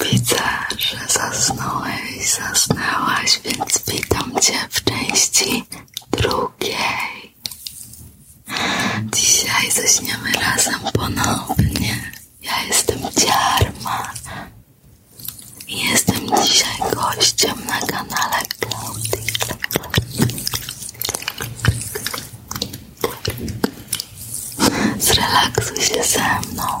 Widzę, że zasnąłeś, zasnęłaś, więc witam Cię w części drugiej. Dzisiaj zaśniemy razem ponownie. Ja jestem Ciarma i jestem dzisiaj gościem na kanale Klaudii. Zrelaksuj się ze mną.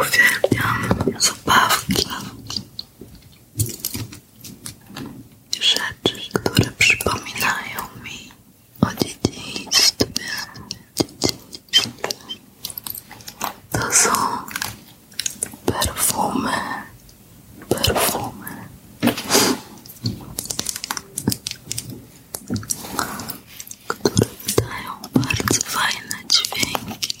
Uwielbiam zabawki, rzeczy, które przypominają mi o dzieciństwie. To są perfumy, perfumy. Które dają bardzo fajne dźwięki.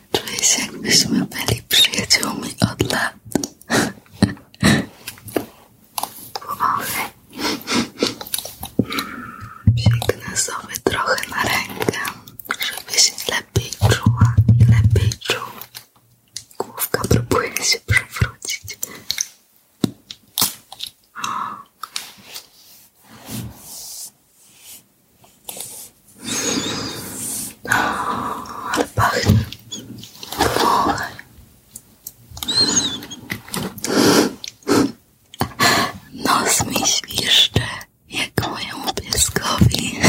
Czuję się jakbyśmy byli przyjaciółmi od lat. Powolny. Psiknę trochę na rękę, żeby się lepiej czuła i lepiej czuł. Główka próbuje się przewrócić. Ale pachnie. Powąchaj. Nos mi świszcze, jak mojemu pieskowi.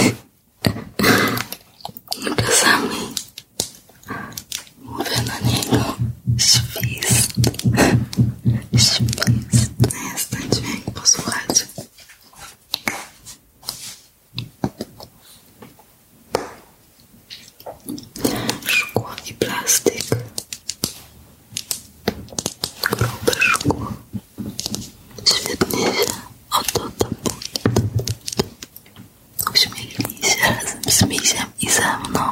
Czasami mówię na niego świst. Jeśli jest, jest ten dźwięk, Szkło i plastik. Grube szkło. Świetnie się odotapuje. Uśmiechnij się razem z misiem i ze mną.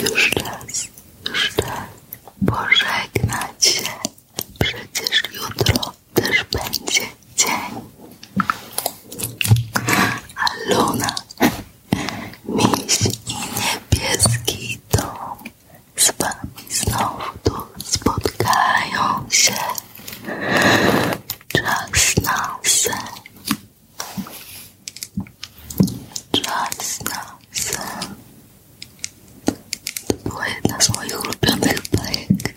Już czas, już czas pożegnać się. Przecież jutro też będzie dzień. A Luna, miś i niebieski dom z wami znowu tu spotkają się. Czas na sen. Czas na sen. To była jedna z moich ulubionych bajek.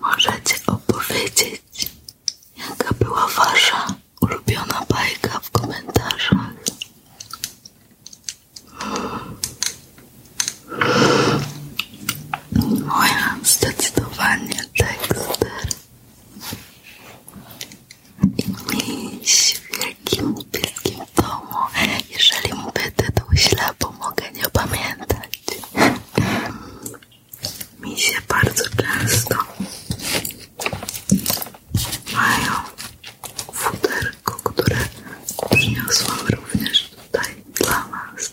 Możecie opowiedzieć, jaka była wasza ulubiona bajka w komentarzach. Moja zdecydowanie tekster i mieć w jakim bieskim domu. Jeżeli mówię tytuł źle, bo mogę nie pamiętać. Mi się bardzo często mają futerko, które przyniosłam również tutaj dla Was.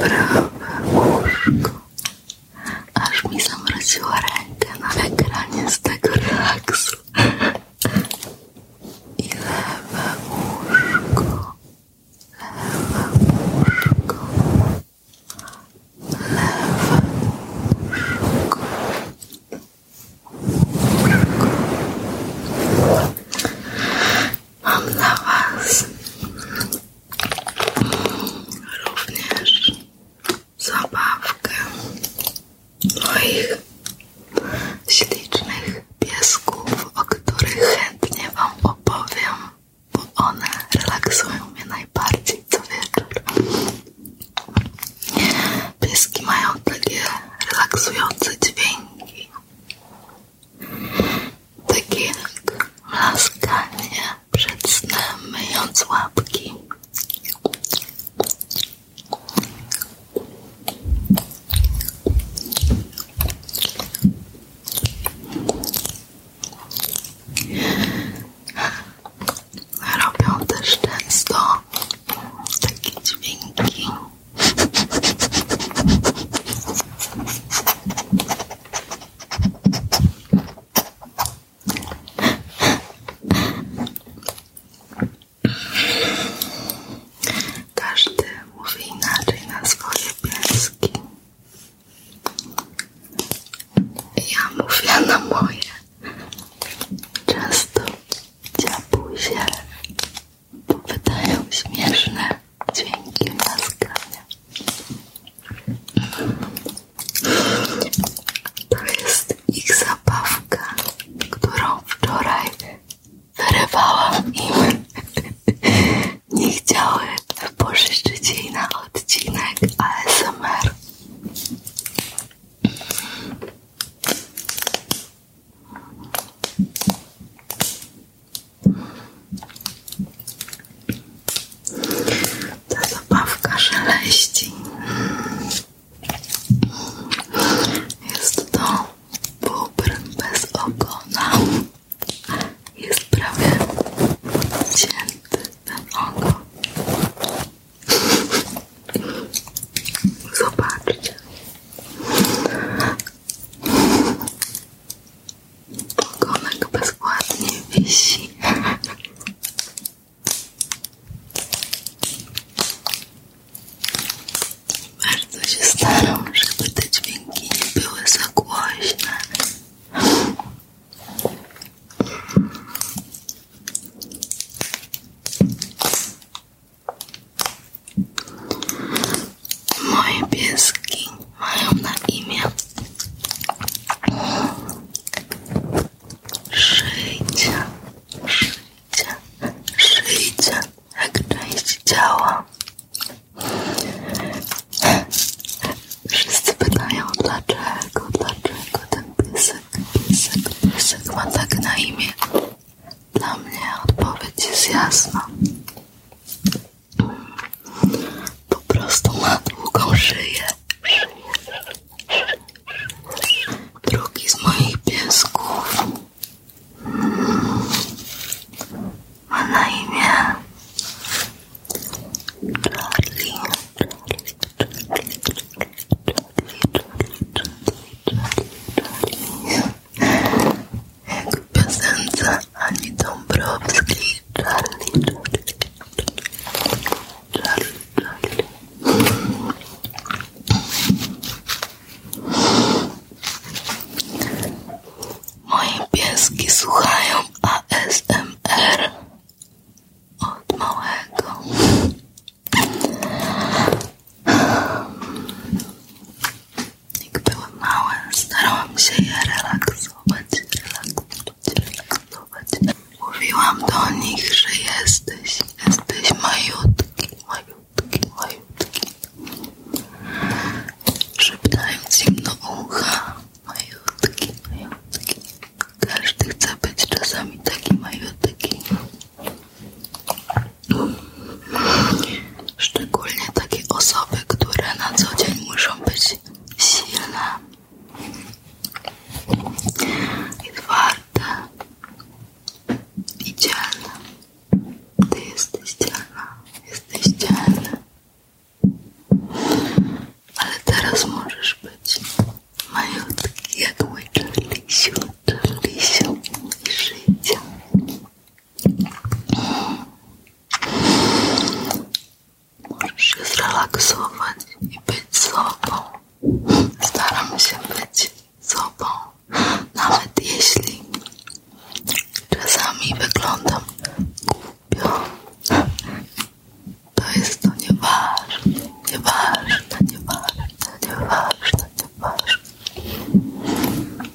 prawe łóżko. Aż mi zamroziła rękę na ekranie z tego relaksu. I lewe łóżko. Lewe łóżko. Lewe łóżko. Mam na was również zabawkę moich ślicznych piesków, o których chętnie Wam opowiem, bo one relaksują mnie najbardziej co wieczór. Pieski mają takie relaksujące dźwięki. Takie laskanie przed snem, myjąc łapki. Robią też często takie dźwięki. Każdy mówi inaczej na swoje pieski. Ja mówię na moje. Często dziabuzie, bo wydają śmieszne dźwięki naskania. To jest ich zabawka, którą wczoraj wyrywałam im. Nie chciały pożyczyć jej na odcinek ASMR. Ta zabawka szeleści. Jest to bubr bez ogona. Jest prawie cięty ten Zobaczcie. Komek bezładnie wisi. Bardzo się staram, żeby te dźwięki nie były za głośne. Moje pieski mają na imię Szyjcie, szyjcie, szyjcie jak część ciała. Wszyscy pytają dlaczego, dlaczego ten piesek, piesek, piesek ma tak na imię. Dla mnie odpowiedź jest jasna. Po prostu ma długą szyję. Drugi z moich piesków ma na imię Charlie. Jak w piosence Ani Dąbrowskiej Charlie, Charlie, Charlie, Charlie. Moje pieski słuchają ASMR od małego. Jak byłam mała, starałam się je relaksować, relaksować, relaksować. Mówiłam do nich, że jesteś, jesteś majutki, majutki, majutki. Szeptając im do ucha, majutki, majutki. Każdy chce być czasami taki majutki. Szczególnie takie osoby, które na co dzień muszą być silne i twarde i dzielne. Ty jesteś dzielna, jesteś dzielny. Ale teraz możesz być majutki jak mój czerlisiu, czerlisiu i życia. Możesz się zrelaksować i być sobą. Staram się być sobą, nawet jeśli czasami wyglądam głupio. To jest to nieważne, nieważne, nieważne, nieważne, nieważne.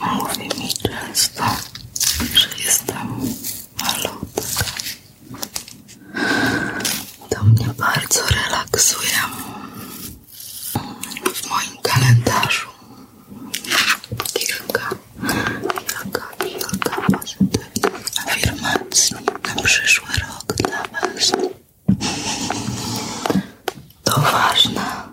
Mówi mi często, że jestem malutka. To mnie bardzo relaksuje w moim kalendarzu. Kilka, kilka, kilka pozytywnych afirmacji na przyszły rok dla Was. To ważne.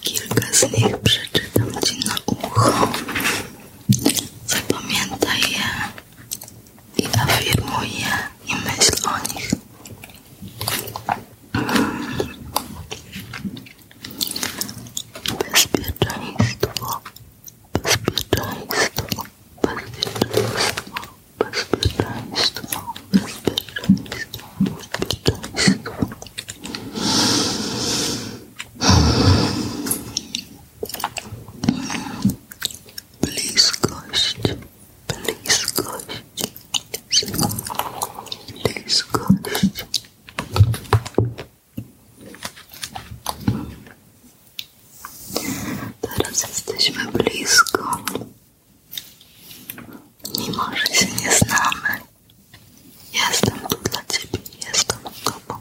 Kilka z nich przeczytał Ci na ucho. Zapamiętaj je i afirmuj je i myśl o nich. Bezpieczeństwo, bezpieczeństwo, bezpieczeństwo, bezpieczeństwo, bezpieczeństwo, bezpieczeństwo. Bliskość, bliskość, bliskość. Teraz jesteśmy blisko. Mimo, że się nie znamy, Jestem tu dla ciebie, jestem sobą.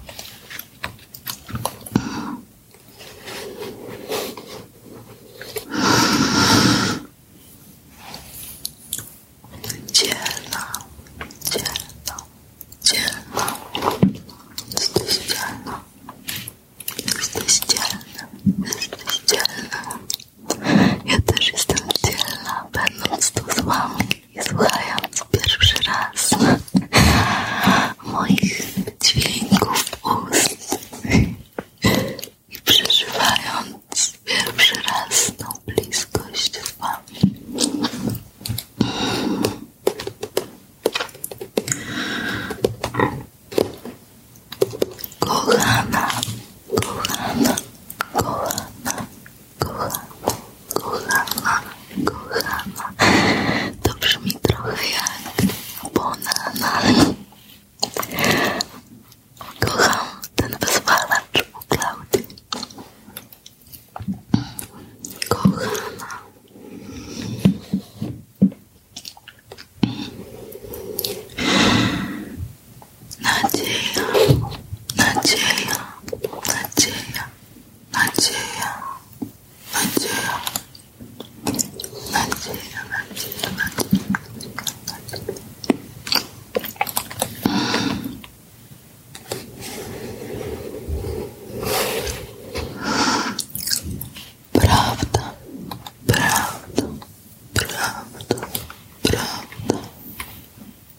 Dzielna, dzielna, dzielna. Jesteś dzielna. Jesteś dzielna, jesteś dzielna. Ja też jestem dzielna, będąc tu z wami i słuchając pierwszy raz moich dźwięków ust i przeżywając pierwszy raz tą bliskość z Wami. Kochana, kochana, kochana, kochana, kochana, kochana. To brzmi trochę jak banana. Kocham ten wyzwalacz u Klaudii. Kochana. Надея, Надея, Надея, Надея, Надея, Надея, Надея, Надея, Правда, правда, правда, правда,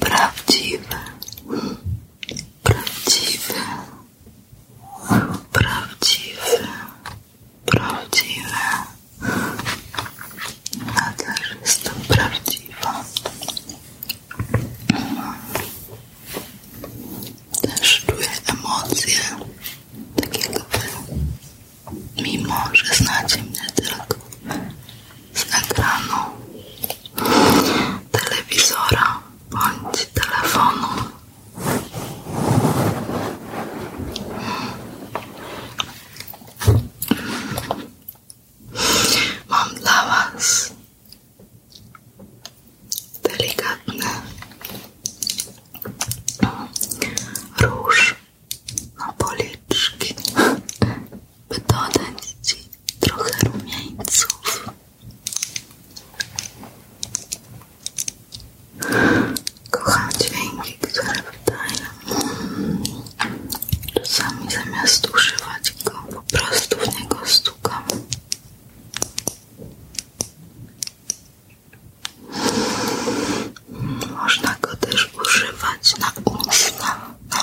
Prawdziwe. Prawdziwe. Prawdziwe. Prawdziwe. Nadal jestem prawdziwa. Też czuję emocje, tak jakby mimo, że znacie mnie tylko a grano telewizora bądź telefonu. Mam dla Was delikatny róż. na no, policzki, by dodać Ci trochę rumieńców. Kocham dźwięki, które wydaję. Czasami zamiast używać go, po prostu w niego stukam. Można go też używać na usta, na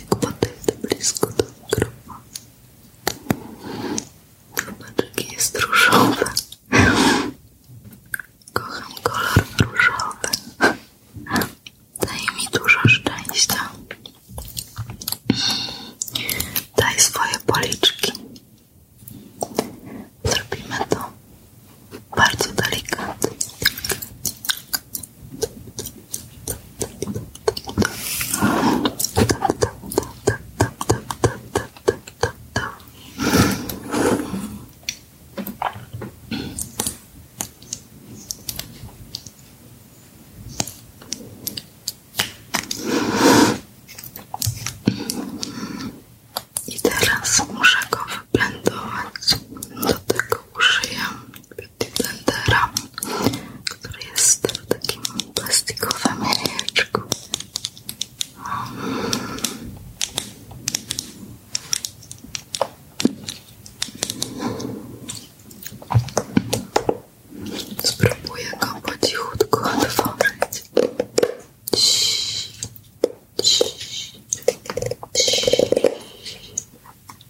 jak podejdę blisko do mikrofonu. Chybaczek jest różowy. Kocham kolor różowy. Daje mi dużo szczęścia. Daj swoje policzki. Zrobimy to bardzo delikatnie. I teraz muszę go wyblendować. Do tego użyję blendera, który jest w takim plastikowym jajeczku. Spróbuję go po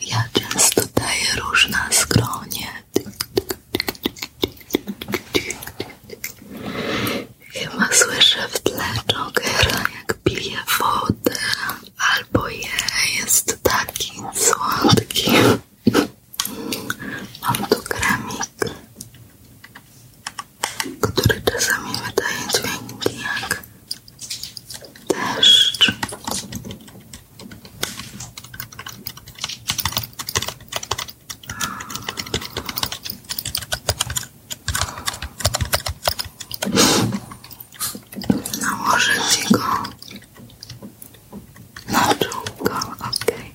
Ja często daję róż na skronie. Chyba słyszę w tle Jokera, jak pije wodę, albo je jest taki słodki. Mam tu kremik który czasami wydaje dźwięki jak deszcz. Nałożę ci go na czułko, okej.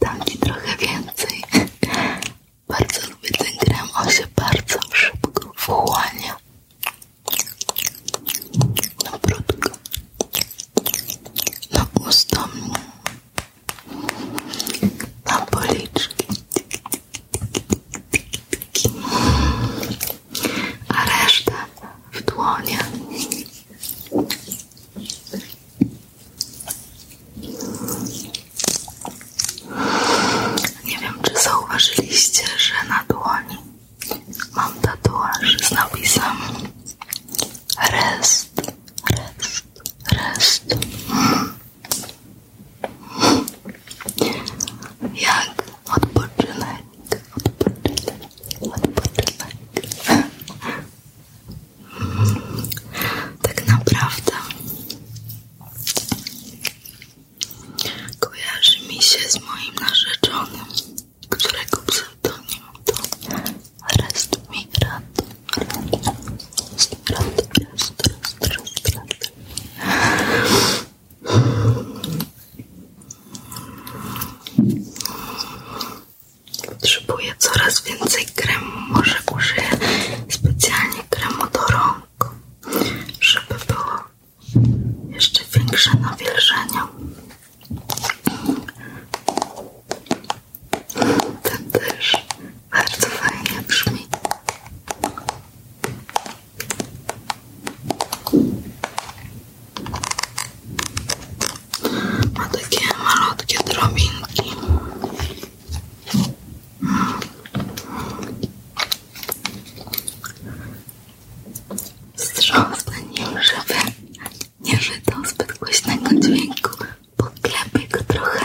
Taki trochę więcej. Bardzo lubię ten krem, on się bardzo szybko wchłania. No brudko. No usta. Na policzki. A reszta w dłonie. Nie wiem, czy zauważyliście, że na dłoni mam tatuaż z napisem rest, rest, rest. Jak Odpoczynek, odpoczynek, odpoczynek. Tak naprawdę kojarzy mi się z moim narzeczonym, którego pseudonim to rest mi rad, rest, rest, rest, rest, Potrzebuję coraz więcej kremu. Może użyję specjalnie kremu do rąk, żeby było jeszcze większe nawilżenie. Ten też bardzo fajnie brzmi. Ma takie malutkie drobinki. Wstrząsnę nim, żeby nie żydał zbyt głośnego dźwięku. Poklepaj go trochę.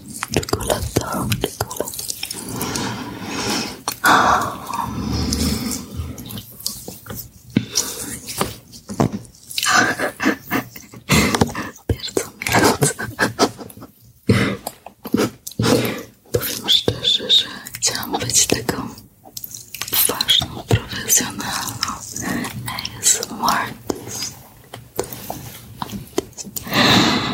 czekolada, czekolada. Bardzo Powiem szczerze, że chciałam być taką ważną, profesjonalną ASMR artist.